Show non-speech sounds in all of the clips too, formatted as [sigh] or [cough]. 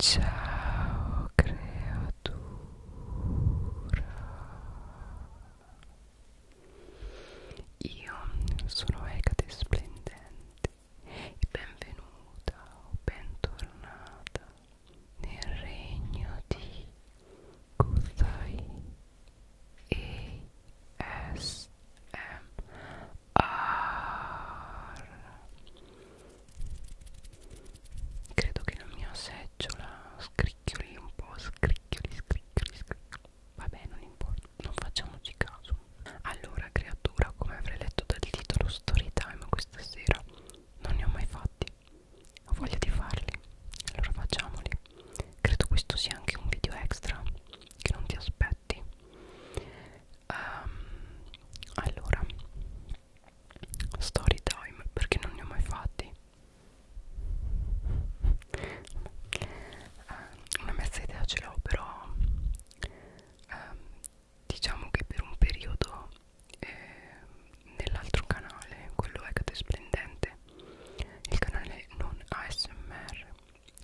Ciao creatura Io sono Ecate Splendente benvenuta o bentornata nel regno di Kuzai ASMR ar. credo che la mia seggiola scricchioli un po' scricchioli scricchioli scricchioli vabbè non importa non facciamoci caso allora creatura come avrei letto dal titolo storytime questa sera non ne ho mai fatti ho voglia di farli allora facciamoli credo questo sia anche un video extra che non ti aspetti um, allora story time perché non ne ho mai fatti uh, una mezza idea ce l'ho però uh, diciamo che per un periodo eh, nell'altro canale quello Hecate Splendente il canale non ASMR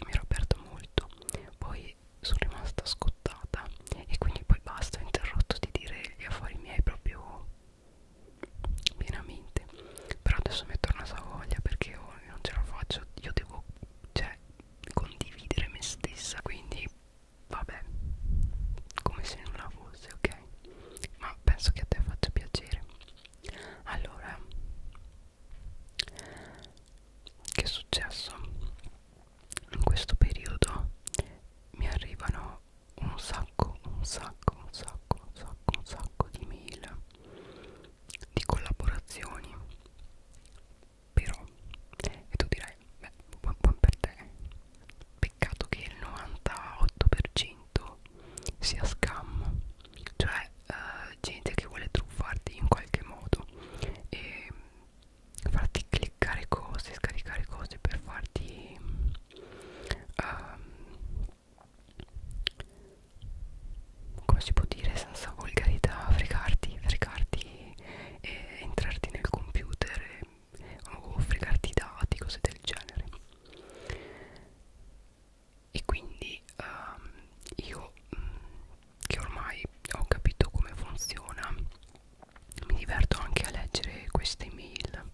mi ero aperto molto poi cui sono rimasta scottata e quindi poi basta ho interrotto di dire gli affari miei proprio pienamente però adesso mi è tornata voglia perché oh, non ce la faccio io devo cioè condividere me stessa quindi vabbè come se nulla fosse ok ma penso che a te faccia piacere allora che è successo in questo periodo mi arrivano un sacco, un sacco, un sacco, un sacco, un sacco di mail di collaborazioni però e tu dirai beh buon, buon per te peccato che il 98% sia scam cioè eh, gente che vuole truffarti in qualche modo e farti cliccare cose scaricare cose per farti um, come si può dire senza volgarità fregarti fregarti e entrarti nel computer e, o fregarti i dati cose del genere e quindi um, io mh, mm, che ormai ho capito come funziona mi diverto anche a leggere queste mail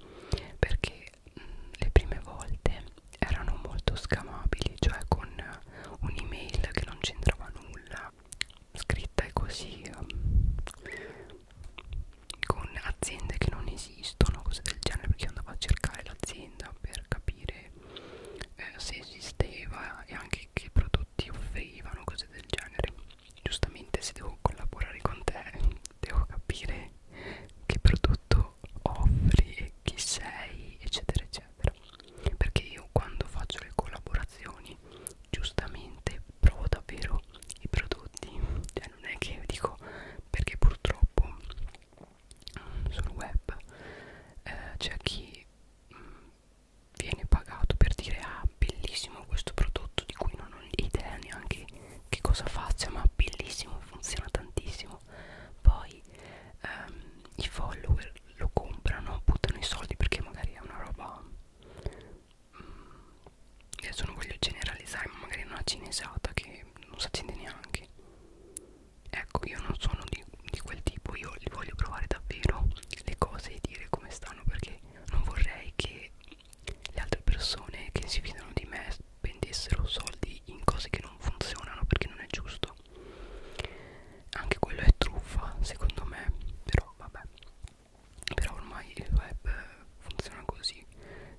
perché mh, mm, le prime volte erano molto scamabili cioè con un'email che non c'entrava nulla scritta e così um, con aziende che non esistono cose del genere perché andavo a cercare l'azienda per capire eh, se esisteva e anche che prodotti offrivano cose del genere giustamente se devo collaborare con te devo capire che prodotto offri e chi sei eccetera eccetera perché io quando faccio le collaborazioni giustamente provo davvero i prodotti cioè non è che dico perché purtroppo mm, sul web eh, c'è chi mh, mm, viene pagato per dire ah bellissimo questo prodotto di cui non ho idea neanche che cosa faccia ma bellissimo funziona tantissimo poi ehm, i follower lo comprano buttano i soldi perché magari è una roba mm, adesso non voglio generalizzare ma magari è una cinesata che non si accende neanche ecco io non sono di, di quel tipo io voglio provare davvero le cose e dire come stanno perché non vorrei che le altre persone che si fidano di me spendessero soldi in cose che non funzionano perché non è giusto anche quello è truffa secondo me però vabbè però ormai il web funziona così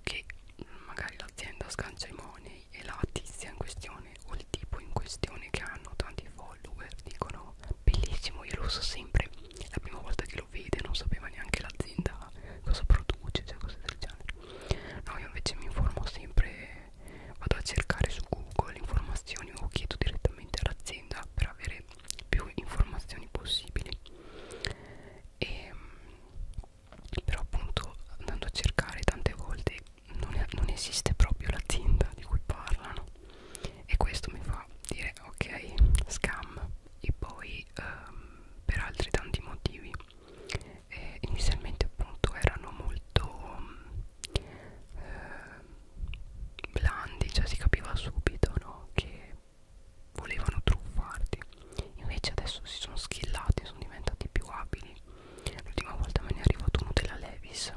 che magari l'azienda scancia i money e la tizia in questione o il tipo in questione che hanno tanti follower dicono bellissimo io lo uso sempre la prima volta che lo vede non sapeva neanche l'azienda cosa produce cioè cose del genere no io invece mi informo sempre vado a cercare su google informazioni o chiedo direttamente all'azienda per avere più informazioni possibili e, ehm, però appunto andando a cercare tante volte non, è, non esiste proprio l'azienda di cui parlano e questo mi fa dire ok scam e poi um, per altri tanti motivi eh, inizialmente appunto erano molto um, eh, blandi cioè si capiva subito no che volevano truffarti invece adesso si sono schillati sono diventati più abili l'ultima volta me ne è arrivato uno della Levis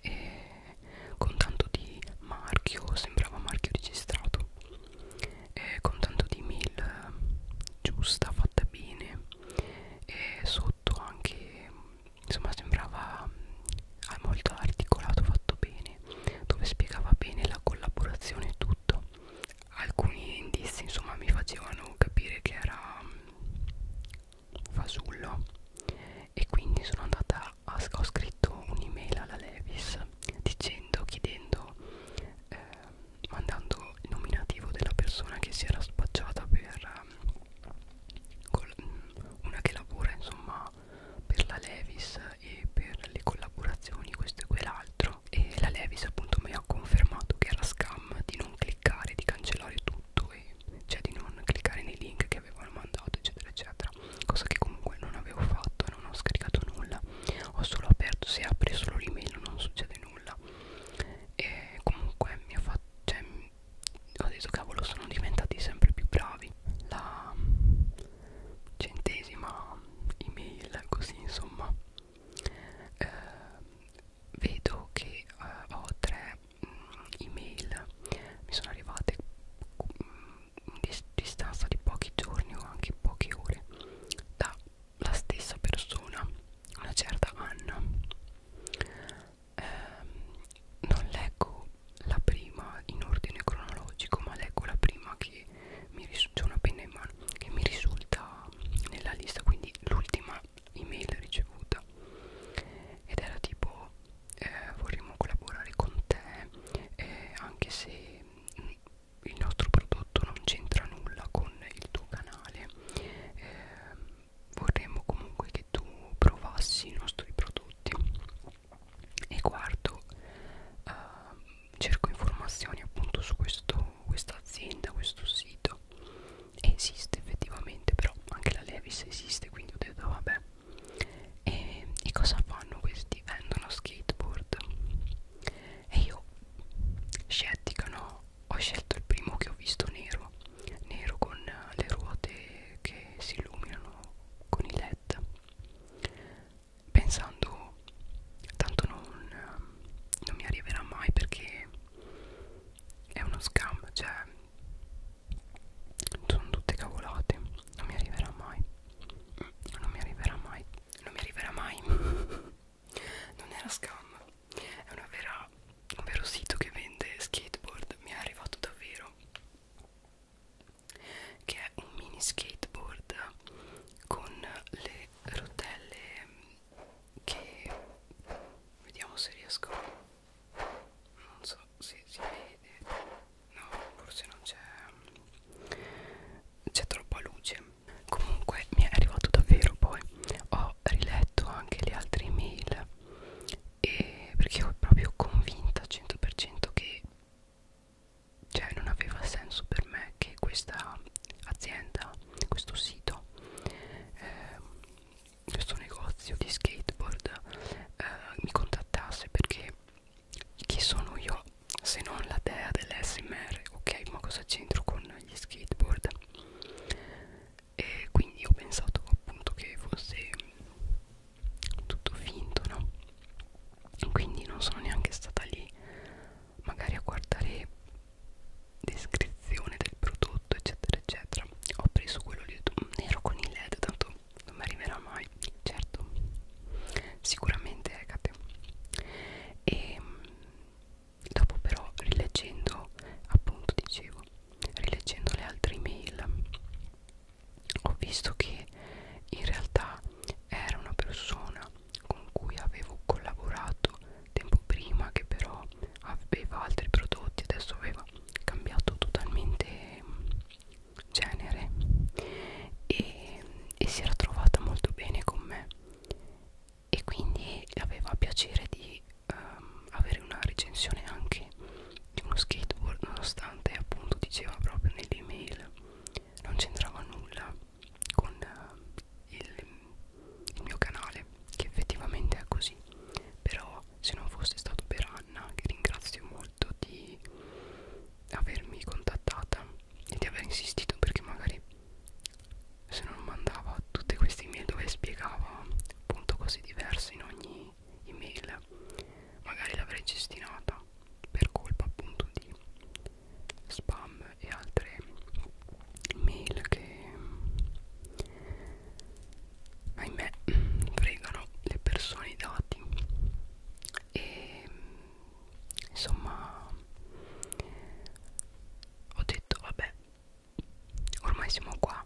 e con tanto di marchio sembrava marchio registrato e con tanto di mail eh, giusta fatta bene e sotto anche insomma sembrava mm, molto articolato fatto bene dove spiegava bene la collaborazione e tutto alcuni indizi insomma mi facevano capire che era mm, fasullo e quindi sono andata ho scritto un'email alla Levis dicendo, chiedendo, eh, mandando il nominativo della persona che si era spacciata per ehm, col, mm, una che lavora insomma per la Levis e per le collaborazioni questo e quell'altro e la Levis appunto mi ha confermato che era scam di non cliccare, di cancellare tutto e cioè di non cliccare nei link che avevano mandato eccetera eccetera cosa che comunque non avevo fatto non ho scaricato nulla ho solo aperto se apri solo l'email non succede nulla e comunque mi ha fatto cioè, ho detto cavolo sono diventati sempre più bravi la centesima email così insomma eh, vedo che eh, ho tre email mi sono arrivate in distanza di pochi giorni o anche poche ore dalla stessa persona, una certa Anna. Eh, non leggo la prima in ordine cronologico, ma leggo la prima che mi risulta, una penna in mano, che mi risulta nella lista, quindi l'ultima email ricevuta ed era tipo eh, vorremmo collaborare con te eh, anche se mh, il nostro prodotto non c'entra nulla con il tuo canale eh, vorremmo comunque che tu provassi i nostri prodotti e guardo eh, cerco informazioni appunto su questo, questa azienda questo sito esiste effettivamente però anche la Levis esiste quindi ho detto vabbè e, e cosa fanno questi? Vendono skateboard. E io, scettica, no? Ho scelto il primo che ho visto nero, nero con le ruote che si illuminano con i LED, pensando tanto non, non mi arriverà mai perché è uno scam, cioè sono tutte cavolate non mi arriverà mai non mi arriverà mai non mi arriverà mai [laughs] non era scam è una vera un vero sito che vende skateboard mi è arrivato davvero che è un mini skateboard con le rotelle che vediamo se riesco non so se si vede no forse non c'è c'è troppa luce comunque mi è arrivato davvero poi ho riletto anche le altre email e perché ero proprio convinta al 100% che cioè non aveva senso per me che questa azienda questo sito eh, questo negozio di skateboard eh, mi contattasse perché chi sono io se non la dea dell'SMR ok ma cosa c'entro con gli skateboard e quindi ho pensato appunto che fosse tutto finto no quindi non sono neanche stata lì magari a guardare descrizione del prodotto eccetera eccetera ho preso quello lì mm, nero con il led tanto non mi arriverà mai certo sicuramente Ecate e ehm, dopo però rileggendo appunto dicevo rileggendo le altre mail ho visto che in realtà era una persona con cui avevo collaborato tempo prima che però aveva altri prodotti adesso aveva cambiato totalmente genere e, e si era trovata molto bene con me e quindi aveva piacere di um, avere una recensione anche di uno skateboard nonostante appunto diceva proprio nell'email non c'entrava nulla con uh, il, il mio canale che effettivamente è così però se non fosse stato per Anna che ringrazio molto di avermi contattata e di aver insistito perché magari se non mandava tutte queste email dove spiegava appunto cose diverse in ogni email magari l'avrei gestinata per colpa appunto di spam e altre mail che ahimè fregano le persone i dati e insomma ho detto vabbè ormai siamo qua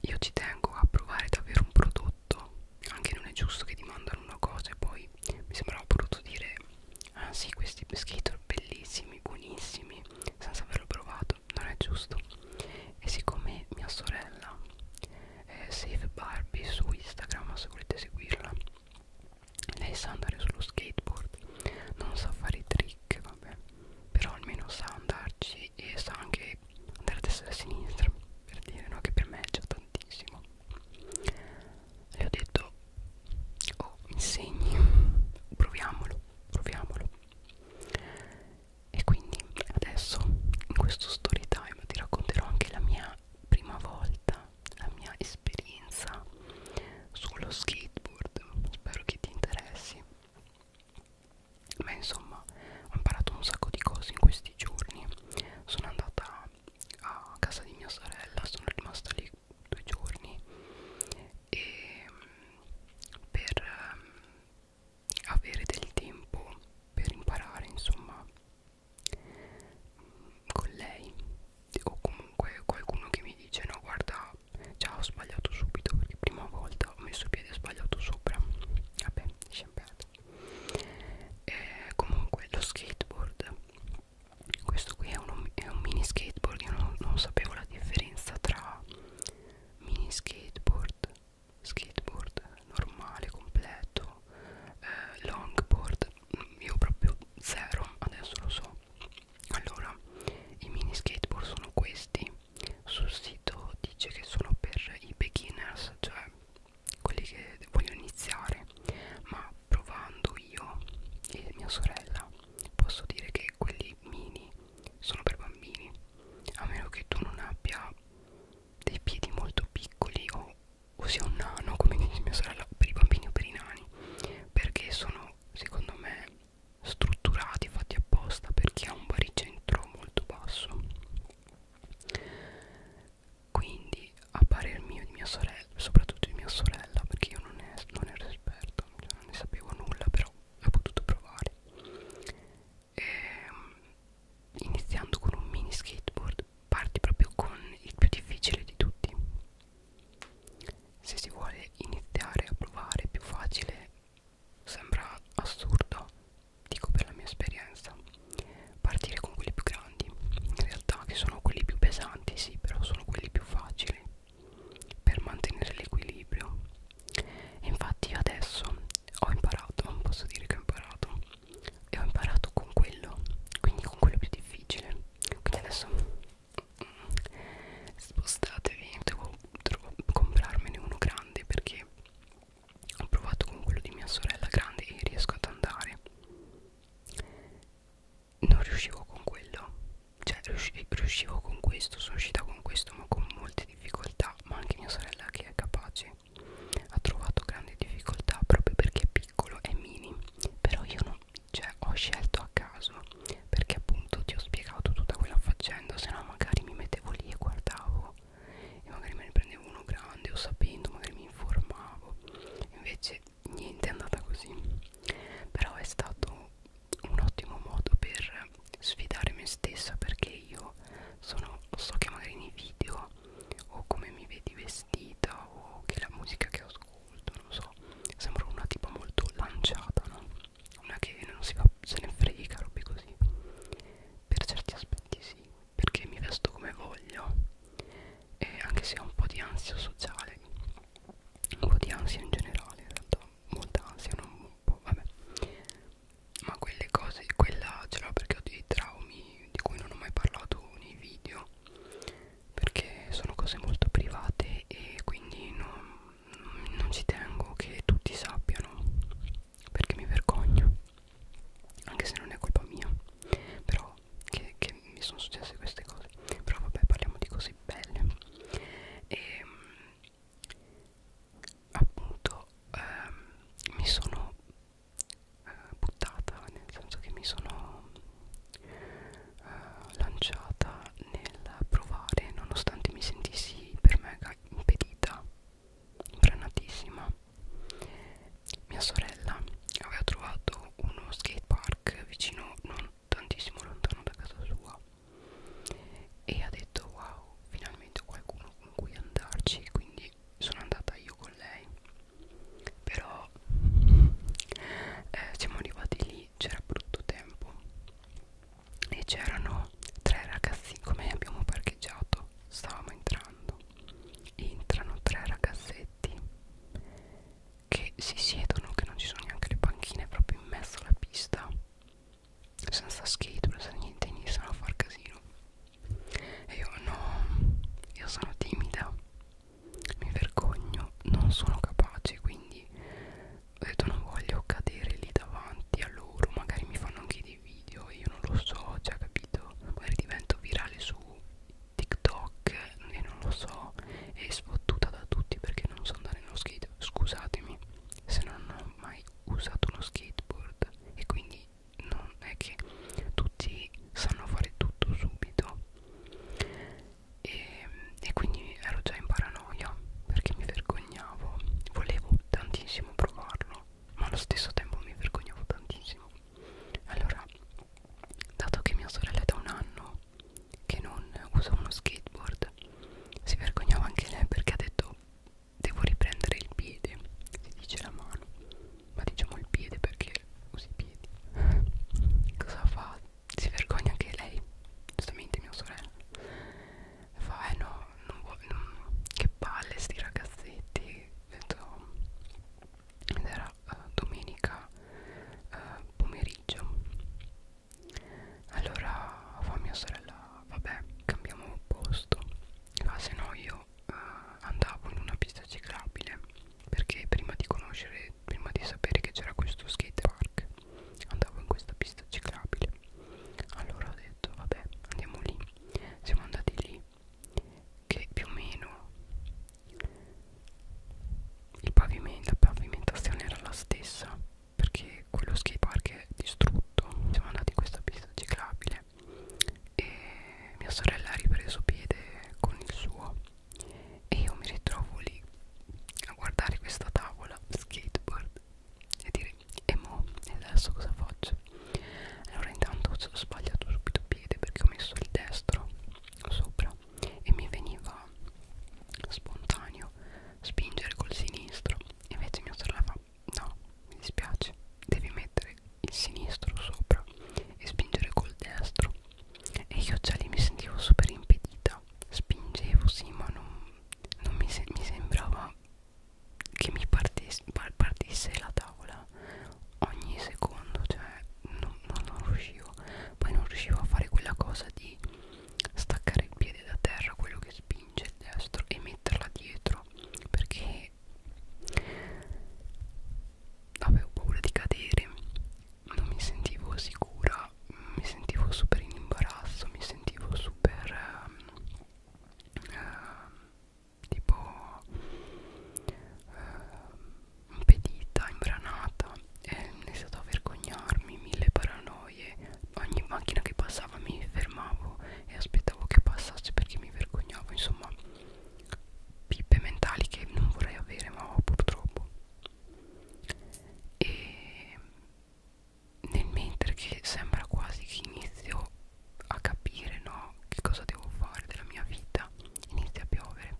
io ci tengo a provare davvero un prodotto anche non è giusto che ti mandano una cosa e poi mi sembrava brutto dire ah sì questi skater bellissimi buonissimi senza averlo provato non è giusto e siccome mia sorella eh, Safe Barbie su Instagram se volete seguirla lei sa andare sullo skateboard non sa fare i trick vabbè però almeno sa andarci e sa anche andare a destra e a sinistra per dire no che per me è già tantissimo le ho detto oh mi insegni proviamolo proviamolo e quindi adesso in questo story time ti racconterò anche la mia prima volta la mia esperienza sullo skateboard spero che ti interessi ma insomma ho imparato un sacco di cose in questi giorni sono andata a casa di mia sorella sono rimasta lì due giorni e mm, per ehm, avere del tempo per imparare insomma con lei o comunque qualcuno che mi dice no guarda già ho sbagliato subito perché prima volta ho messo il piede sbagliato sopra vabbè lasciamo perdere eh, comunque lo skateboard questo qui è, uno, è un mini skateboard io non, non sapevo la differenza tra mini skateboard skateboard normale, completo, eh, longboard, mm, io proprio zero, adesso lo so. Allora, i mini skateboard sono questi, sul sito dice che sono per i beginners, cioè quelli che vogliono iniziare, ma provando io e mia sorella posso dire che quelli mini sono per bambini, a meno che tu non abbia dei piedi molto piccoli o, o sia un nano come dice mia sorella per i bambini o per i nani perché sono secondo me strutturati fatti apposta per chi ha un baricentro molto basso quindi a parer mio di mia sorella soprattutto di mia sorella perché io non, ne, non ero esperto cioè non ne sapevo nulla però ho potuto provare e, ehm, iniziando con un mini skateboard parti proprio con il più difficile di tutti se si vuole iniziare a provare più facile sembra assurdo dico per la mia esperienza partire con quelli più grandi in realtà che sono quelli più pesanti sì però sono quelli più facili per mantenere l'equilibrio e infatti adesso ho imparato, posso dire che ho imparato e ho imparato con quello, quindi con quello più difficile quindi adesso mm, spostatevi, devo, devo comprarmene uno grande perché ho provato con quello di mia sorella grande e riesco ad andare non riuscivo con quello cioè riuscivo con questo sono uscita con questo ma con molte difficoltà ma anche mia sorella che è capace mese ha trovato grandi difficoltà proprio perché è piccolo e mini però io non, cioè, ho scelto a caso perché appunto ti ho spiegato tutta quella faccenda se no magari mi mettevo lì e guardavo e magari me ne prendevo uno grande o sapendo magari mi informavo invece niente è andata così però è stato un ottimo modo per sfidare me stessa perché io sono, so che magari nei video o come mi vedi vestita o che la musica che ascolto, non so, sembra una tipo molto lanciata, no? Una che non si va, se ne frega, robe così. Per certi aspetti sì, perché mi vesto come voglio e anche se ho un po' di ansia sociale, un po' di ansia in generale, in realtà molta ansia, non un po', vabbè ma quelle cose quella ce l'ho perché ho dei traumi di cui non ho mai parlato nei video perché sono cose molto private e quindi non, non ci tengo che tutti sappiano perché mi vergogno anche se non è colpa mia però che, che mi sono successe queste cose però vabbè parliamo di cose belle e ehm, appunto ehm, mi sono eh, buttata nel senso che mi sono eh, lanciata nel provare nonostante mi sentissi per mega impedita frenatissima mia sorella aveva trovato uno skatepark vicino non tantissimo lontano da casa sua e ha detto wow finalmente ho qualcuno con cui andarci quindi sono andata io con lei però eh, siamo arrivati lì c'era brutto tempo e c'erano tre ragazzini come abbiamo parcheggiato stavamo entrando entrano tre ragazzetti che si siedono che non ci sono neanche le panchine proprio in mezzo alla pista senza schedule, senza niente, iniziano a far casino. E io no, io sono timida, mi vergogno, non sono capace, quindi ho detto non voglio cadere lì davanti a loro, magari mi fanno anche dei video, io non lo so, cioè capito, magari divento virale su TikTok e non lo so, e sfottuta da tutti perché non so andare nello skate, scusatemi se non ho mai usato uno skateboard e quindi non è che tutti sanno fare tutto subito e, e quindi ero già in paranoia perché mi vergognavo volevo tantissimo provarlo ma allo stesso tempo mi vergognavo tantissimo allora dato che mia sorella è da un anno che non usa uno skateboard si vergognava anche lei perché ha detto devo riprendere il piede si dice la mano ma diciamo il piede perché usi i piedi [laughs] cosa fa? si vergogna anche lei giustamente mia sorella fa eh no non vuole, non, che palle sti ragazzetti detto, ed era uh, domenica uh, pomeriggio allora fa mia sorella vabbè cambiamo posto fa ah, se no io io eh, andavo in una pista ciclabile perché prima di conoscere, prima di sapere che c'era questo skate park, andavo in questa pista ciclabile. Allora ho detto, vabbè, andiamo lì. Siamo andati lì, che più o meno il pavimento, la pavimentazione era la stessa perché quello skate park è distrutto. Siamo andati in questa pista ciclabile e mia sorella ha ripreso piede con il suo e io mi ritrovo lì a guardare questa tavola skateboard e dire e mo e adesso cosa faccio allora intanto ho sbagliato subito piede perché ho messo il destro sopra e mi veniva spontaneo spingere col sinistro invece mia sorella fa no, mi dispiace, devi mettere il sinistro sopra e spingere col destro e io già lì mi sentivo super impedita, spingevo sì ma non, non mi, se mi sembrava che mi partisse, partisse la tavola ogni secondo, cioè non, non, non riuscivo, poi non riuscivo a fare quella cosa di staccare il piede da terra, quello che spinge il destro e metterla dietro perché avevo paura di cadere non mi sentivo sicura mi sentivo super in imbarazzo mi sentivo super eh, eh, tipo eh, impedita imbranata e eh, ne è stato a vergognarmi mille paranoie ogni macchina che passava mi fermavo e aspettavo che passasse perché mi vergognavo insomma pippe mentali che non vorrei avere ma ho purtroppo e nel mentre che sembra quasi che inizio a capire no che cosa devo fare della mia vita inizia a piovere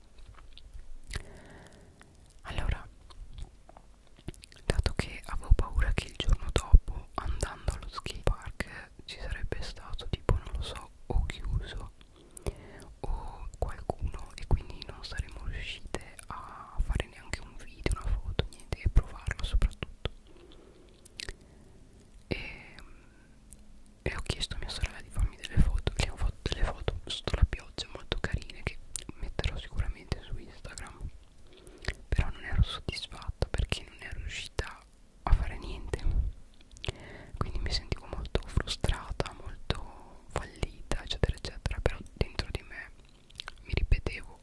allora dato che avevo paura che il giorno dopo andando allo skate park ci sarebbe stato tipo non lo so o chiuso o qualcuno e quindi non saremmo riuscite a fare neanche un video, una foto, niente e provarlo soprattutto e, e ho chiesto a mia sorella di farmi delle foto le ho fatto delle foto sotto la pioggia molto carine che metterò sicuramente su Instagram però non ero soddisfatta perché non ero riuscita a fare niente quindi mi sentivo molto frustrata molto fallita eccetera eccetera però dentro di me mi ripetevo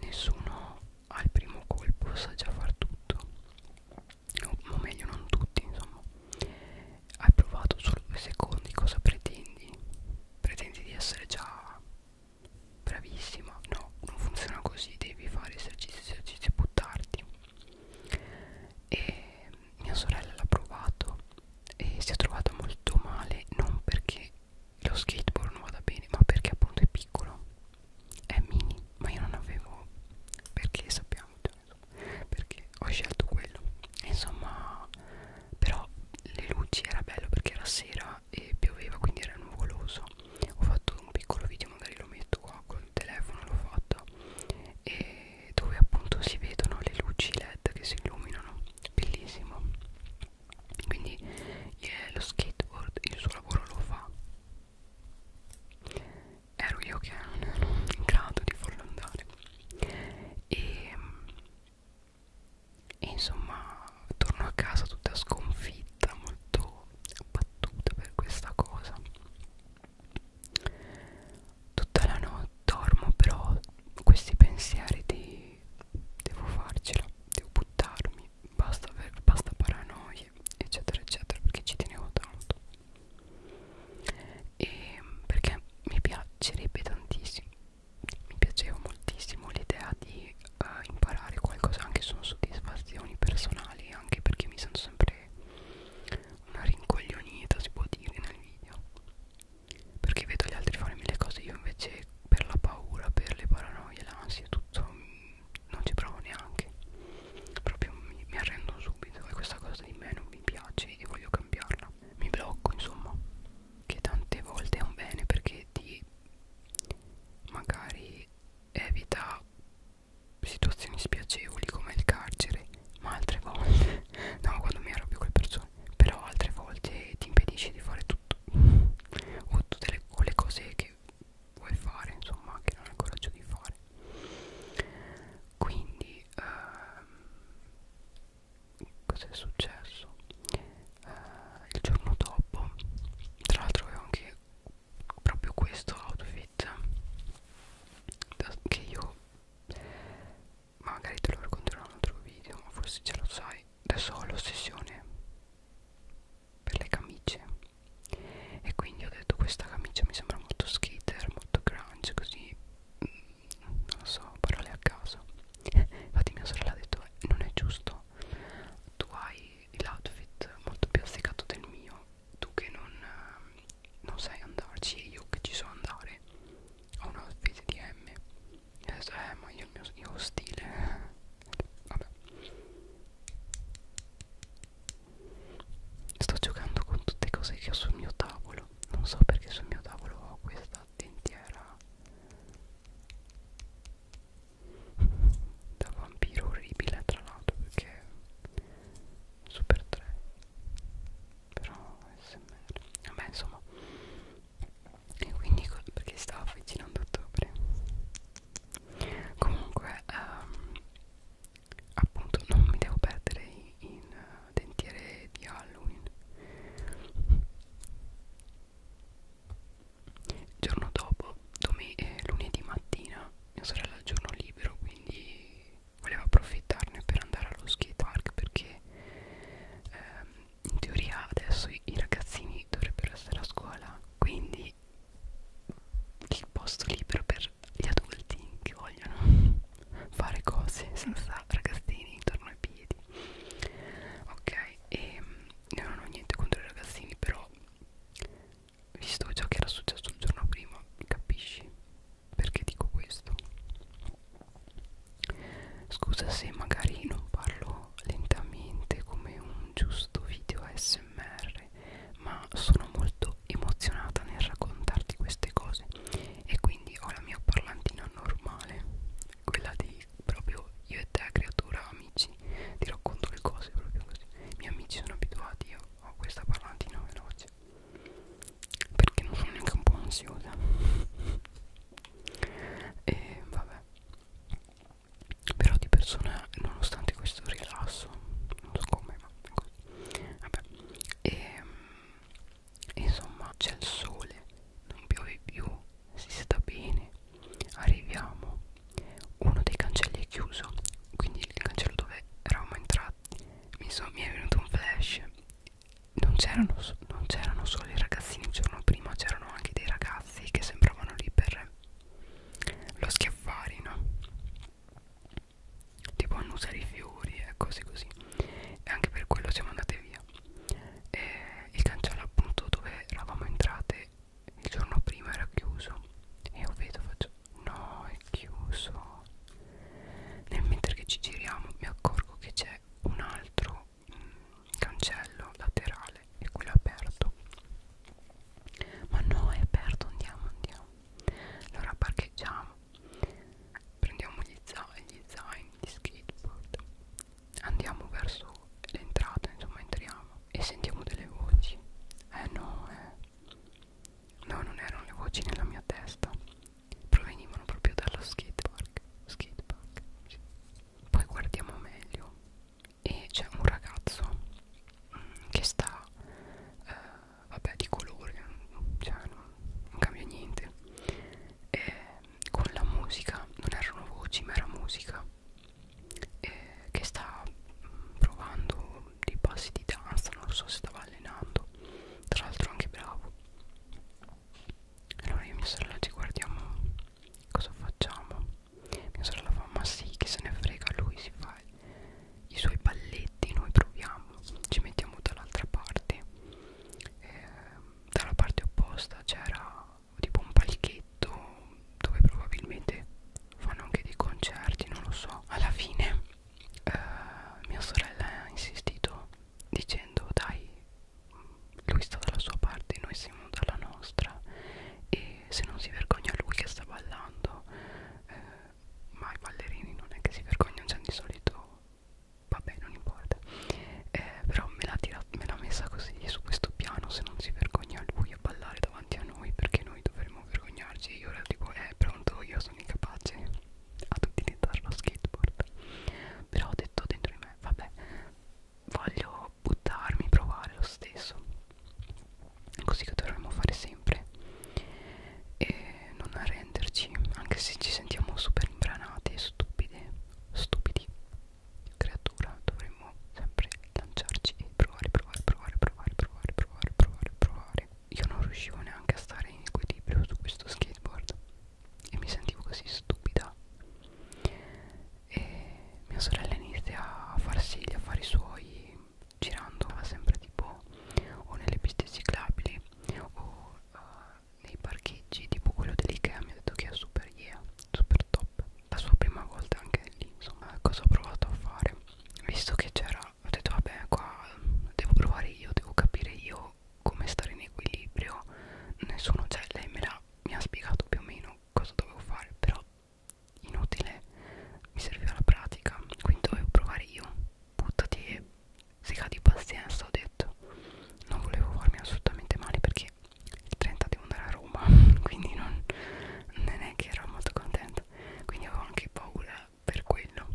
nessuno al primo colpo sa già far tutto o meglio non tutti insomma hai provato solo due secondi cosa pretendi pretendi di essere già bravissima no non funziona così devi fare esercizi esercizi e buttarti e mia sorella l'ha provato e si è trovata molto male non perché lo skateboard non vada bene ma perché appunto è piccolo è mini ma io non avevo perché sappiamo cioè, perché ho scelto quello insomma però le luci era bello perché era sera pioggia e pioveva quindi era nuvoloso ho fatto un piccolo video magari lo metto qua col telefono l'ho fatto e dove appunto si vedono le luci led che si illuminano bellissimo quindi eh, lo skateboard il suo lavoro lo fa ero io che non ero in grado di farlo andare e, e insomma torno a casa tutta sconfitta molto battuto per questa cosa tutta la notte dormo però questi pensieri di devo farcela devo buttarmi basta, per, basta paranoie eccetera eccetera perché ci tenevo tanto e perché mi piacerebbe tantissimo mi piaceva moltissimo l'idea di uh, imparare qualcosa anche sono soddisfazioni personali anche perché mi sento sempre una rincoglionita si può dire nel video perché vedo gli altri fare mille cose io invece per la paura per le paranoie l'ansia tutto mm, non ci provo neanche proprio mi, mi arrendo subito e questa cosa di me non mi piace e voglio cambiarla mi blocco insomma che tante volte è un bene perché ti magari evita situazioni spiacevoli come il carcere ma altre volte [laughs] no quando mi arrabbio con le persone però altre volte ti impedisce di fare tutto [laughs] o tutte le, o le cose che vuoi fare insomma che non hai il coraggio di fare quindi ehm, cos'è successo eh, il giorno dopo tra l'altro avevo anche proprio questo outfit che io magari te lo racconterò in un altro video ma forse ce lo sai adesso ho l'ossessione per le camicie e quindi ho detto questa camicia mi sembra molto skater molto grunge così mm, non lo so parole a caso [laughs] infatti mia sorella ha detto eh, non è giusto tu hai l'outfit molto più afficato del mio tu che non, ehm, non sai andarci e io che ci so andare ho un outfit di M e adesso eh ma io il mio io stile eh. vabbè sto giocando con tutte cose che ho sul mio tavolo non so perché sul mio tavolo ho questa dentiera da vampiro orribile tra l'altro perché super 3 però smr vabbè insomma e quindi perché stava avvicinando ottobre comunque um, appunto non mi devo perdere in, in uh, eh, dentiere di Halloween il giorno dopo, eh, lunedì mattina, mia sorella ha il giorno libero, quindi voleva approfittarne per andare allo skate park perché ehm, in teoria adesso i, i ragazzini dovrebbero essere a scuola, quindi il posto libero per gli adulti che vogliono [laughs] fare cose senza ragazzini intorno ai piedi. Ok, e ehm, io non ho niente contro i ragazzini, però visto già che era successo il giorno prima capisci perché dico questo scusa se magari non parlo lentamente come un giusto video smr ma sono molto emozionata nel raccontarti queste cose e quindi ho la mia parlantina normale quella di proprio io e te creatura amici ti racconto le cose proprio così i miei amici sono abituati io ho questa parlantina veloce perché non sono neanche un po' ansiosa e vabbè però di persona nonostante questo rilasso non so come ma è così vabbè e ehm, insomma c'è il sole non piove più si sta bene arriviamo uno dei cancelli è chiuso quindi il cancello dove eravamo entrati mi, so, mi è venuto un flash non c'erano non solo i ragazzini il giorno prima c'erano anche dei ragazzi che sembravano lì per lo schiaffari no? tipo annusa i fiori e cose così e anche per quello siamo andate via e il cancello appunto dove eravamo entrate il giorno prima era chiuso e io vedo faccio no è chiuso nel mentre che ci giriamo mi accorgo che c'è un altro mh, mm, cancello laterale e quello è aperto ma no è aperto andiamo andiamo allora parcheggiamo prendiamo gli zaini gli zaini di skateboard andiamo verso l'entrata, insomma entriamo e sentiamo delle voci. Eh no, eh. No, non erano le voci nella mia testa. Provenivano proprio dallo skate park. Skate park. Sì. Poi guardiamo meglio e c'è un ragazzo mh, mm, che sta, eh, vabbè, di colore, cioè non, non cambia niente. E con la musica, non erano voci, ma era musica eh, che sta provando dei passi di danza, non so se stava allenando, tra l'altro anche bravo. Allora io e mia sorella ci guardiamo cosa facciamo. Mia sorella fa ma sì che se ne frega, lui si fa i suoi balletti, noi proviamo, ci mettiamo dall'altra parte. Eh, dalla parte opposta c'era tipo un palchetto balletto dove probabilmente fanno anche dei concerti non lo so alla fine eh, mia sorella ha insistito dicendo dai lui sta dalla sua parte noi siamo dalla nostra e se non si vergogna lui che sta ballando eh, ma i ballerini non è che si vergognano cioè di solito vabbè non importa eh, però me l'ha messa così su questo piano se non si vergogna lui voglio ballare davanti a noi perché noi dovremmo vergognarci e io ora dico eh pronto io sono incapace ad utilizzare lo skateboard però ho detto dentro di me vabbè voglio buttarmi provare lo stesso così che dovremmo fare sempre e non arrenderci anche se ci sentiamo super imbranate e stupide stupidi creatura dovremmo dovremmo sempre lanciarci e provare, provare, provare, provare, provare, provare, provare, provare. Io non riuscivo neanche a stare in equilibrio su questo skateboard e mi sentivo così stupida. E mia sorella inizia a farsi gli affari suoi girando, va sempre tipo o nelle piste ciclabili o uh, nei parcheggi tipo quello dell'Ikea mi ha detto che è super yeah, super top la sua prima volta anche lì insomma cosa ho provato a fare visto che c'era ho detto vabbè qua devo provare io devo capire io come stare in equilibrio nessuno cioè lei me l'ha mi ha spiegato più o meno cosa dovevo fare però inutile mi serviva la pratica quindi dovevo provare io buttati e si di pazienza ho detto non volevo farmi assolutamente male perché il 30 di devo andare a Roma quindi non, non è che ero molto contenta quindi avevo anche paura per quello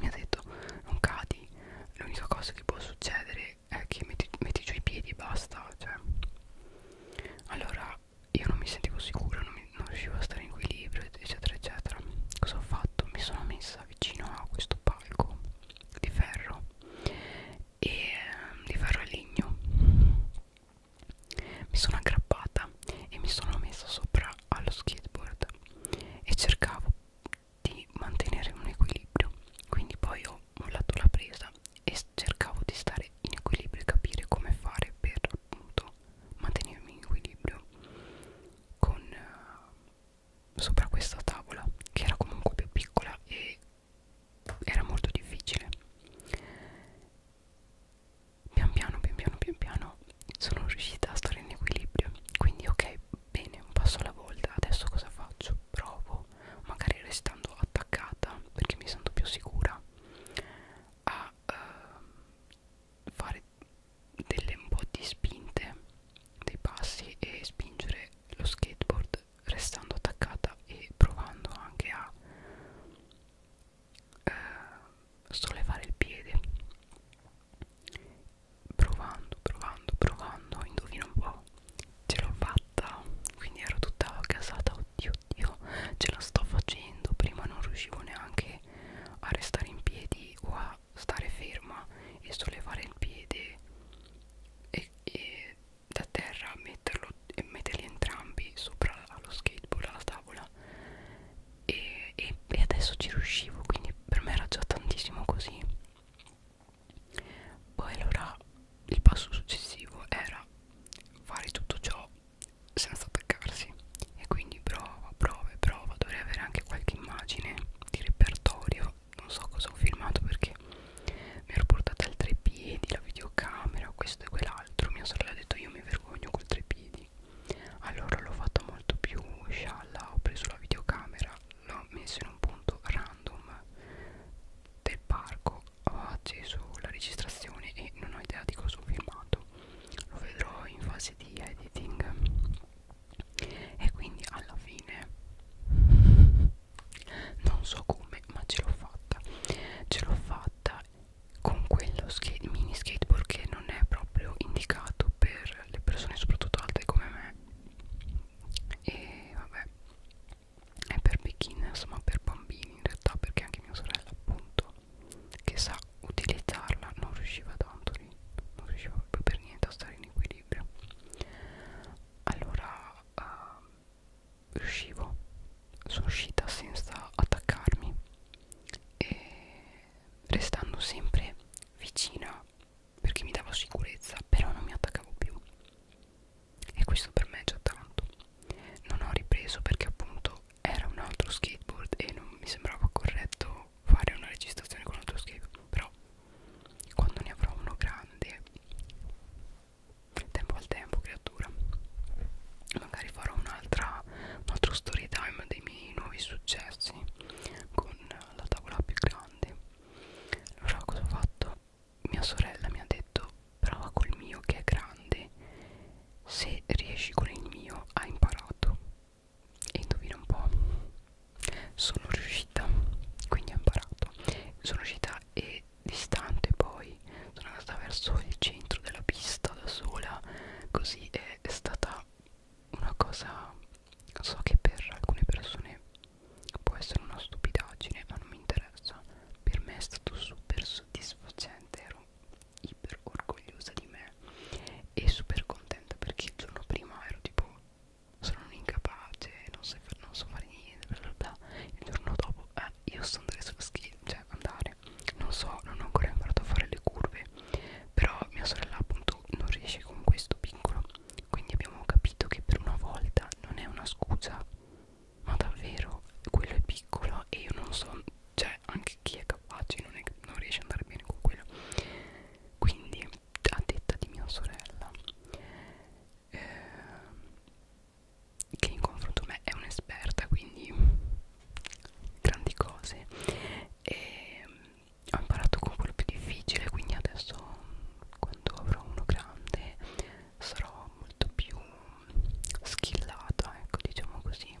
mi ha detto non cadi l'unica cosa che può succedere è che metti, metti giù i piedi e basta cioè. allora io non mi sentivo sicura non, mi, non riuscivo a stare in equilibrio eccetera eccetera cosa ho fatto mi sono messa vicino a questo palco di ferro e di ferro e legno mi sono aggrappata e mi sono messa sopra allo skateboard e cercavo di mantenere un equilibrio. Quindi poi ho mollato la presa e cercavo di stare in equilibrio e capire come fare per appunto mantenermi in equilibrio con uh, sopra questa tavola che era comunque più piccola e era molto difficile pian piano pian piano pian piano sono riuscita a stare in equilibrio quindi ok bene un passo alla volta adesso cosa faccio provo magari restando attaccata perché mi sento più sicura a uh, fare delle un po' di spinte dei passi e spingere lo skateboard restando attaccata e provando anche a eh, sollevare il piede provando provando provando indovina un po' ce l'ho fatta quindi ero tutta casata oddio oddio ce la sto facendo prima non riuscivo neanche a restare in piedi o a stare ferma e sollevare il piede e, e da terra metterlo metterlo, e metterli entrambi sopra allo skateboard alla tavola e, e, e adesso ci riuscivo quindi per me era già tantissimo così poi allora il passo successivo era fare tutto ciò senza attaccarsi e quindi prova, prova e prova dovrei avere anche qualche immagine di repertorio non so cosa ho filmato perché mi ero portata al tre piedi la videocamera questo e quell'altro l'altro mia sorella ha detto io mi vergogno col trepidi allora l'ho fatta molto più scialla ho preso la videocamera l'ho messa in un punto random del parco ho acceso la registrazione e non ho idea di cosa ho filmato lo vedrò in fase di editing e quindi alla fine non so come ma ce l'ho fatta ce l'ho fatta con quello skate, mini skateboard che non è proprio indicato per le persone soprattutto alte come me e vabbè è per beginners ma per bambini in realtà perché anche mia sorella appunto che sa utilizzarla non riusciva tanto lì non riusciva proprio per niente a stare in equilibrio allora uh, riuscivo sono uscita senza attaccarmi e restando sempre vicina perché mi dava sicurezza però non mi attaccavo più e questo per me è già tanto non ho ripreso perché appunto era un altro skateboard e non mi sembrava corretto fare una registrazione con un altro skateboard però quando ne avrò uno grande tempo al tempo creatura magari farò un'altra un altro story time dei miei nuovi successi con la tavola più grande allora cosa ho fatto? mia sorella mi ha detto prova col mio che è grande se riesci con il mio hai imparato e indovina un po' sono riuscita quindi ho imparato sono riuscita e distante poi sono andata verso il centro della pista da sola così è stata una cosa so che per alcune persone può essere una stupidaggine ma non mi interessa per me è stato super soddisfacente ero iper orgogliosa di me e super contenta perché il giorno prima ero tipo sono un incapace non, so, non so fare niente bla bla bla il giorno dopo eh io sono delle sue skill, cioè andare, non so, non ho ancora imparato a fare le curve, però mia sorella appunto non riesce con questo piccolo, quindi abbiamo capito che per una volta non è una scusa, ma davvero quello è piccolo e io non so, cioè anche chi è capace non, è, non riesce ad andare bene con quello, quindi a detta di mia sorella. Eh, che in confronto a me è un'esperta quindi grandi cose e mm, ho imparato con quello più difficile quindi adesso quando avrò uno grande sarò molto più skillata ecco diciamo così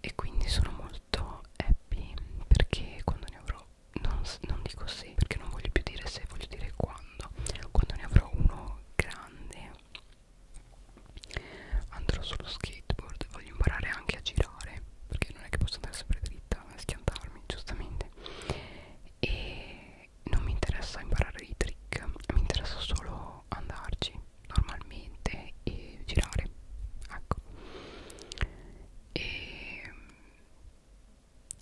e quindi sono molto happy perché quando ne avrò non, non dico se perché non voglio più dire se voglio dire quando quando ne avrò uno grande andrò sullo skateboard voglio imparare anche a girare perché non è che posso andare sempre dritta a schiantarmi giustamente e non mi interessa imparare i trick mi interessa solo andarci normalmente e girare ecco e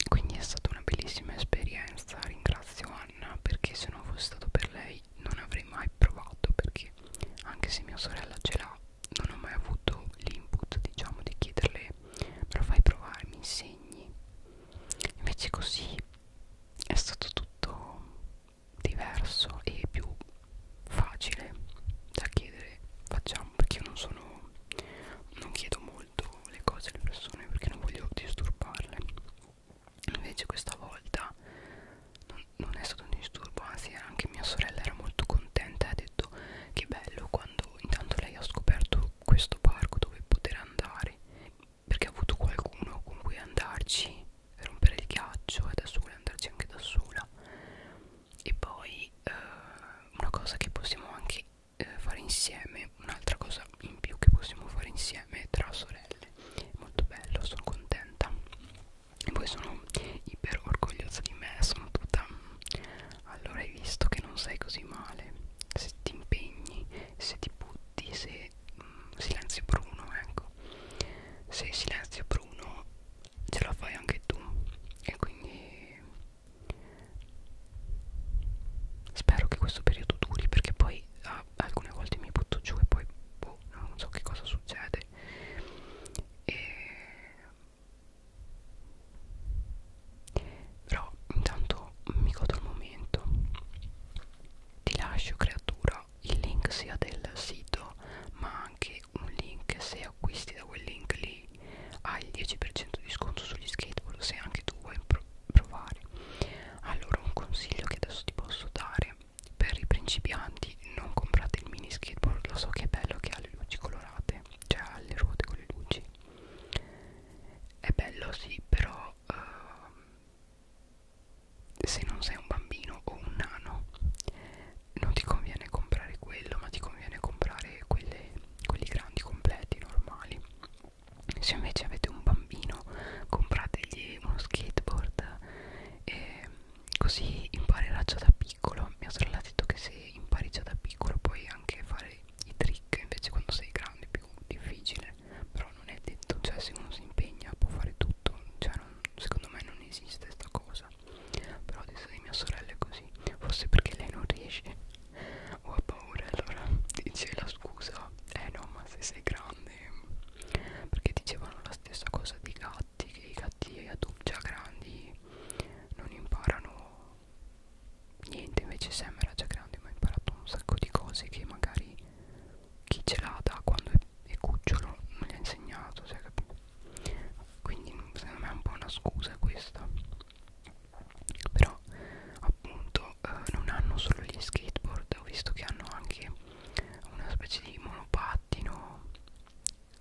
quindi è stata una bellissima esperienza ringrazio Anna perché se non fosse stato per lei avrei, non avrei mai provato perché anche se mia sorella ce l'ha non ho mai avuto l'input diciamo di chiederle me lo fai provare mi insegni invece così è stato tutto diverso e più facile da chiedere facciamo perché io non sono non chiedo molto le cose alle persone perché non voglio disturbarle invece questa volta non, non è stato un disturbo anzi anche mia sorella era molto contenta ha detto che bello quando intanto lei ha scoperto questo parco dove poter andare perché ha avuto qualcuno con cui andarci per rompere il ghiaccio e da sola andarci anche da sola e poi eh, una cosa che possiamo anche eh, fare insieme un'altra cosa in più che possiamo fare insieme tra sorelle stelle molto bello sono contenta e poi sono iper orgogliosa di me sono tutta allora hai visto che non sei così male se ti impegni se ti butti se mm, silenzio bruno ecco se silenzio bruno ce la fai anche tu e quindi spero che questo periodo duri perché poi ah, ma alcune volte mi butto giù e poi boh, non so che cosa succede e... però intanto mi godo il momento ti lascio creatura il link sia del sito ma anche un link se acquisti da quel link lì hai il 10% di sconto sugli skateboard se anche tu vuoi pro provare allora un consiglio che adesso ti posso dare per i principianti non comprate il mini skateboard lo so che è bello che ha le luci colorate cioè ha le ruote con le luci è bello sì però uh, se non sei un bambino o un nano non ti conviene comprare quello ma ti conviene comprare quelle, quelli grandi completi normali se invece avete un bambino comprategli uno skateboard e così imparerà già da piccolo mia sorella ha detto che se impari già da piccolo puoi anche fare i trick invece quando sei grande è più difficile però non è detto cioè se uno si impegna può fare tutto cioè non, secondo me non esiste questa cosa però adesso di mia sorella è così forse perché lei non riesce o ha paura allora dice la scusa eh no ma se sei grande perché dicevano la stessa cosa dei gatti che i gatti già grandi non imparano niente invece Sam era già grande ma ha imparato un sacco di cose che magari chi ce l'ha da quando è, è cucciolo non gli ha insegnato cioè, quindi secondo me è un po' una scusa questa però appunto eh, non hanno solo gli skateboard ho visto che hanno anche una specie di monopattino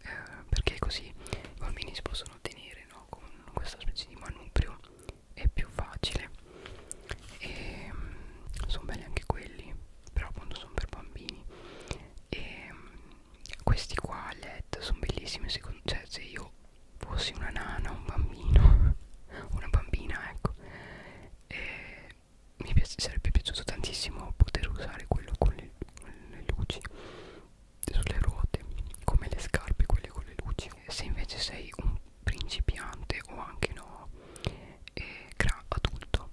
eh, perché così i bambini si possono tenere no? con questa specie di manubrio è più facile e mm, sono belli anche quelli però appunto sono per bambini e mm, questi qua LED sono bellissimi secondo, cioè se io fossi una nana un bambino [laughs] una bambina ecco e mi piace, sarebbe piaciuto tantissimo poter usare quello con le, con le luci sulle ruote come le scarpe quelle con le luci se invece sei un principiante o anche no eh, adulto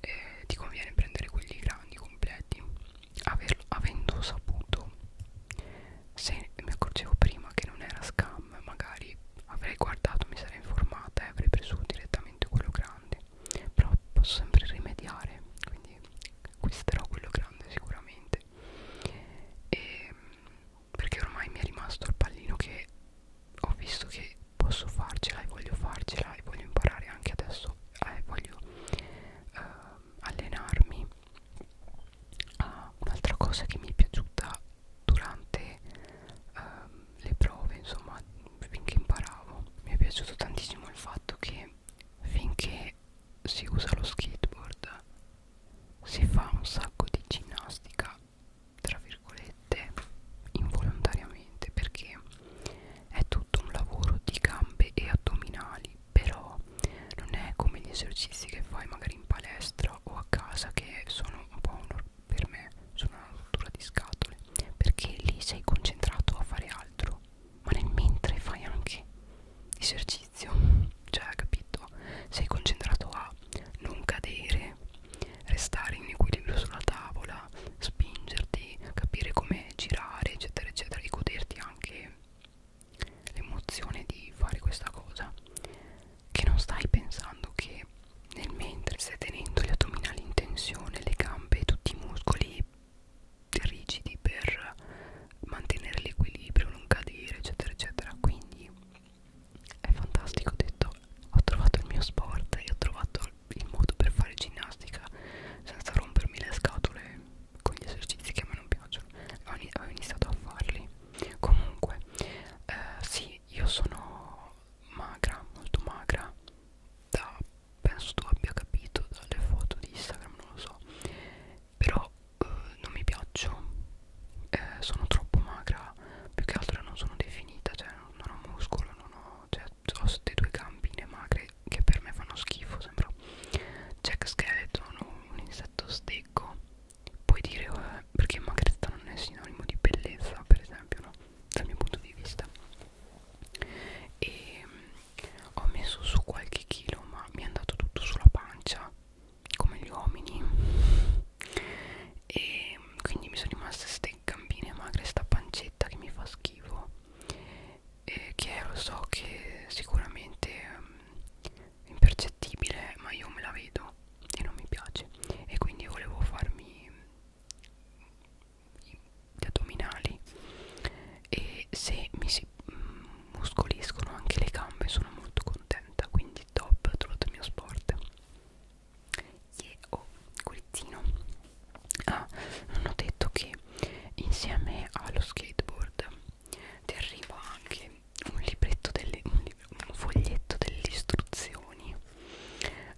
eh, ti conviene prendere quelli grandi completi Averlo, avendo saputo se mi accorgevo prima che non era scam magari avrei guardato, mi sarei informata e avrei preso direttamente quello grande però posso sempre rimediare quindi acquisterò quello grande sicuramente e, perché ormai mi è rimasto il pallino che ho visto che posso farcela e voglio farcela e voglio imparare anche adesso eh, voglio eh, allenarmi ah, un'altra cosa che mi è piaciuta durante ehm, le prove insomma finché imparavo mi è piaciuto tantissimo il fatto che finché si usa lo skateboard si fa un sacco di ginnastica tra virgolette involontariamente perché è tutto un lavoro di gambe e addominali però non è come gli esercizi che fai magari in palestra o a casa che sono un po' un per me sono una rottura di scatole perché lì sei concentrato a fare altro ma nel mentre fai anche esercizio [laughs] cioè capito sei concentrato a non cadere restare in equilibrio sulla tavola spingerti capire come girare eccetera eccetera e goderti anche l'emozione di fare questa cosa che non stai pensando che nel mentre stai tenendo gli addominali in tensione, le gambe e tutti i muscoli rigidi per mantenere l'equilibrio, non cadere, eccetera, eccetera. Quindi è fantastico. Ho detto, ho trovato il mio sport e ho trovato il modo per fare ginnastica senza rompermi le scatole con gli esercizi che a me non piacciono. Ho iniziato a farli. Comunque, eh, sì, io sono magra, molto magra, da, penso tu abbia capito dalle foto di Instagram, non lo so, però eh, non mi piaccio, eh, sono troppo magra, più che altro non sono definita, cioè non, non ho muscolo, non ho, cioè, ho queste due gambine magre che per me fanno schifo, sembra Jack Skeleton, un insetto stecco puoi dire eh, perché magrezza non è sinonimo di bellezza per esempio no? dal mio punto di vista e ehm, ho messo su qualche chilo ma mi è andato tutto sulla pancia come gli uomini e ehm, quindi mi sono rimaste ste gambine magre sta pancetta che mi fa schifo e che lo so che sicuramente um, impercettibile ma io me la vedo e non mi piace e quindi volevo farmi gli addominali e se mi si mm, muscoliscono anche le gambe sono molto contenta quindi top ho trovato il mio sport yeah, oh curizzino ah non ho detto che insieme allo skateboard ti arriva anche un libretto delle, un, lib un foglietto delle istruzioni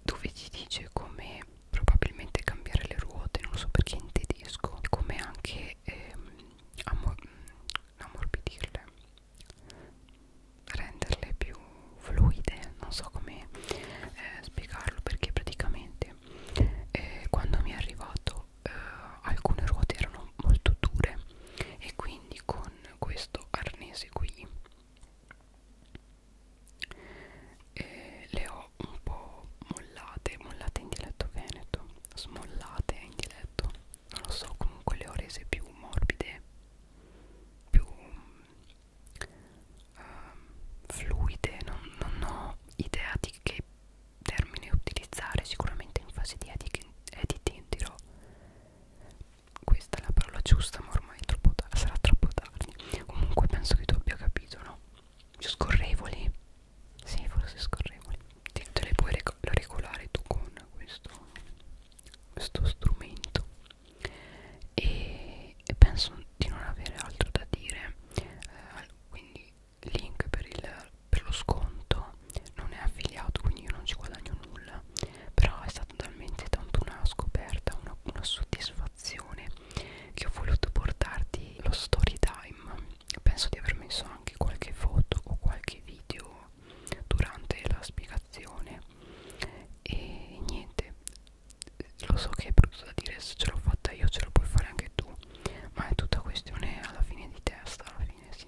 dove ti dice come probabilmente cambiare le ruote non so perché in tedesco come anche ehm, ammor mm, ammorbidirle renderle più fluide non so come eh, spiegarlo perché praticamente eh, quando mi è arrivato eh, alcune ruote erano molto dure e quindi con questo arnese qui e le ho un po' mollate mollate in dialetto veneto smollate in dialetto non lo so comunque le ho rese più morbide più um, fluide non, non ho idea di che termine utilizzare sicuramente in fase di editing dirò questa è la parola giusta ma ormai troppo tardi, sarà troppo tardi comunque penso che tu abbia capito no? scorrevoli sì forse scorrevoli te, te le puoi regolare tu con questo, questo strumento e, e penso di non avere altro da dire eh, quindi link per, il, per lo sconto non è affiliato quindi io non ci guadagno nulla però è stata talmente tanto una scoperta, una, una soddisfazione che ho voluto portarti lo story time penso di aver messo anche qualche foto o qualche video durante la spiegazione e niente lo so che è brutto da dire se ce l'ho fatta io ce lo puoi fare anche tu ma è tutta questione alla fine di testa alla fine sì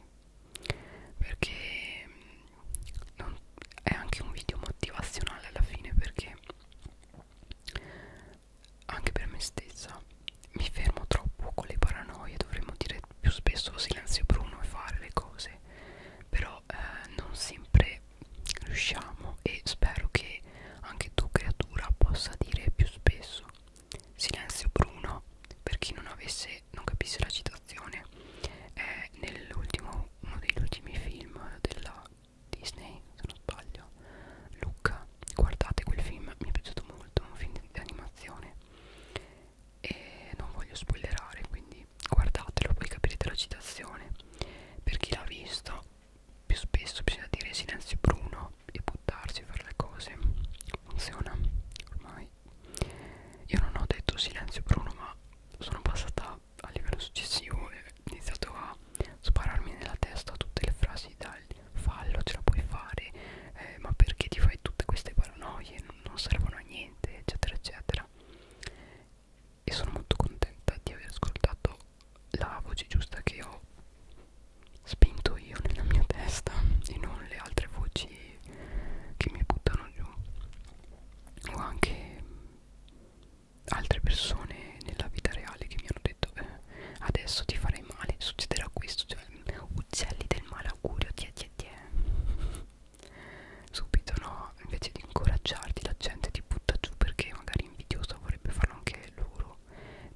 perché mm, non, è anche un video motivazionale alla fine perché anche per me stessa mi fermo troppo con le paranoie dovremmo dire più spesso silenzio bruno e fare le cose però eh, non sempre riusciamo e spero che anche tu creatura possa dire più spesso silenzio bruno per chi non avesse che non capisce la citazione è nell'ultimo uno degli ultimi film della Disney se non sbaglio Luca guardate quel film mi è piaciuto molto un film di animazione e non voglio spoilerare quindi guardatelo poi capirete la citazione per chi l'ha visto più spesso bisogna dire silenzio bruno e buttarsi a fare le cose funziona ormai io non ho detto silenzio Bruno ma sono passata a livello successivo e ho iniziato a spararmi nella testa tutte le frasi dal fallo, ce la puoi fare, eh, ma perché ti fai tutte queste paranoie, non, non servono a niente, eccetera, eccetera. E sono molto contenta di aver ascoltato la voce giusta che ho spinto io nella mia testa e non le altre voci che mi buttano giù o anche altre persone nella vita reale che mi hanno detto eh, adesso ti farei male, succederà questo, cioè, uccelli del malaugurio, tie tie tie subito no, invece di incoraggiarti la gente ti butta giù perché magari invidiosa vorrebbe farlo anche loro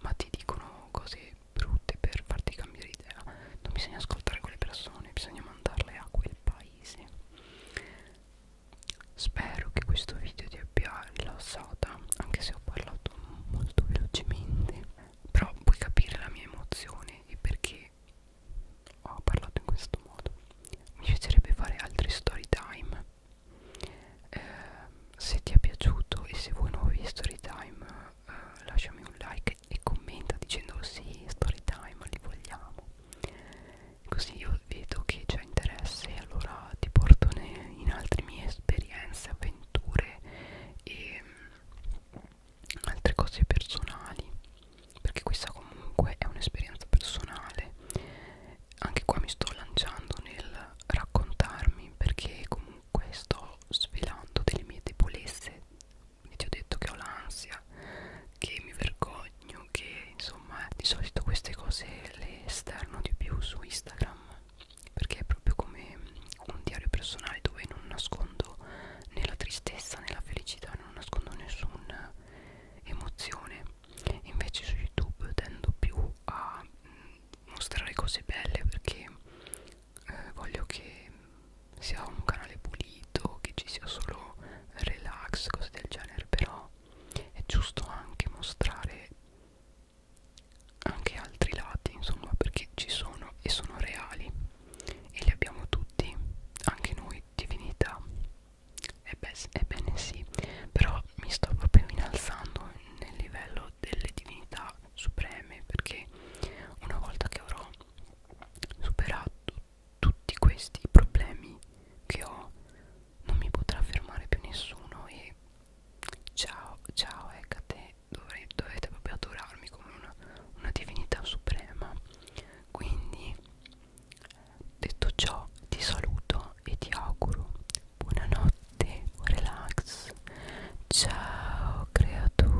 ma ti dicono cose brutte per farti cambiare idea non bisogna ascoltare quelle persone, bisogna mandarle a quel paio paese spero che questo video ti abbia rilassata anche se ho parlato molto velocemente però puoi capire la mia emozione e perché ho parlato in questo modo mi piacerebbe fare altri story time eh, se ti è piaciuto e se vuoi nuovi story time eh, lasciami un like e commenta dicendo sì, story time, li vogliamo. Così io vedo che c'è interesse e allora ti porto in altre mie esperienze, avventure e mm, altre cose personali perché questa comunque è un'esperienza personale anche qua mi sto lanciando nel raccontarmi perché comunque sto svelando delle mie debolezze quindi ti ho detto che ho l'ansia che mi vergogno che insomma di solito queste cose le esterno di più su Instagram perché è proprio come un diario personale dove non nascondo né la tristezza né la felicità non nascondo nessuna emozione invece su YouTube tendo più a mm, mostrare cose belle perché eh, voglio che sia un canale pulito, che ci sia solo relax, cose del genere, però è giusto anche mostrare anche altri lati, insomma, perché ci sono e sono reali e li abbiamo tutti, anche noi, divinità. Ebbene, ebbene sì, però mi sto proprio innalzando nel livello delle divinità supreme perché una volta che avrò superato tutti questi problemi che ho non mi potrà fermare più nessuno e ciao ciao Ecate ecco dovrei, dovete proprio adorarmi come una, una divinità suprema quindi detto ciò ti saluto e ti auguro buonanotte buon relax ciao creatura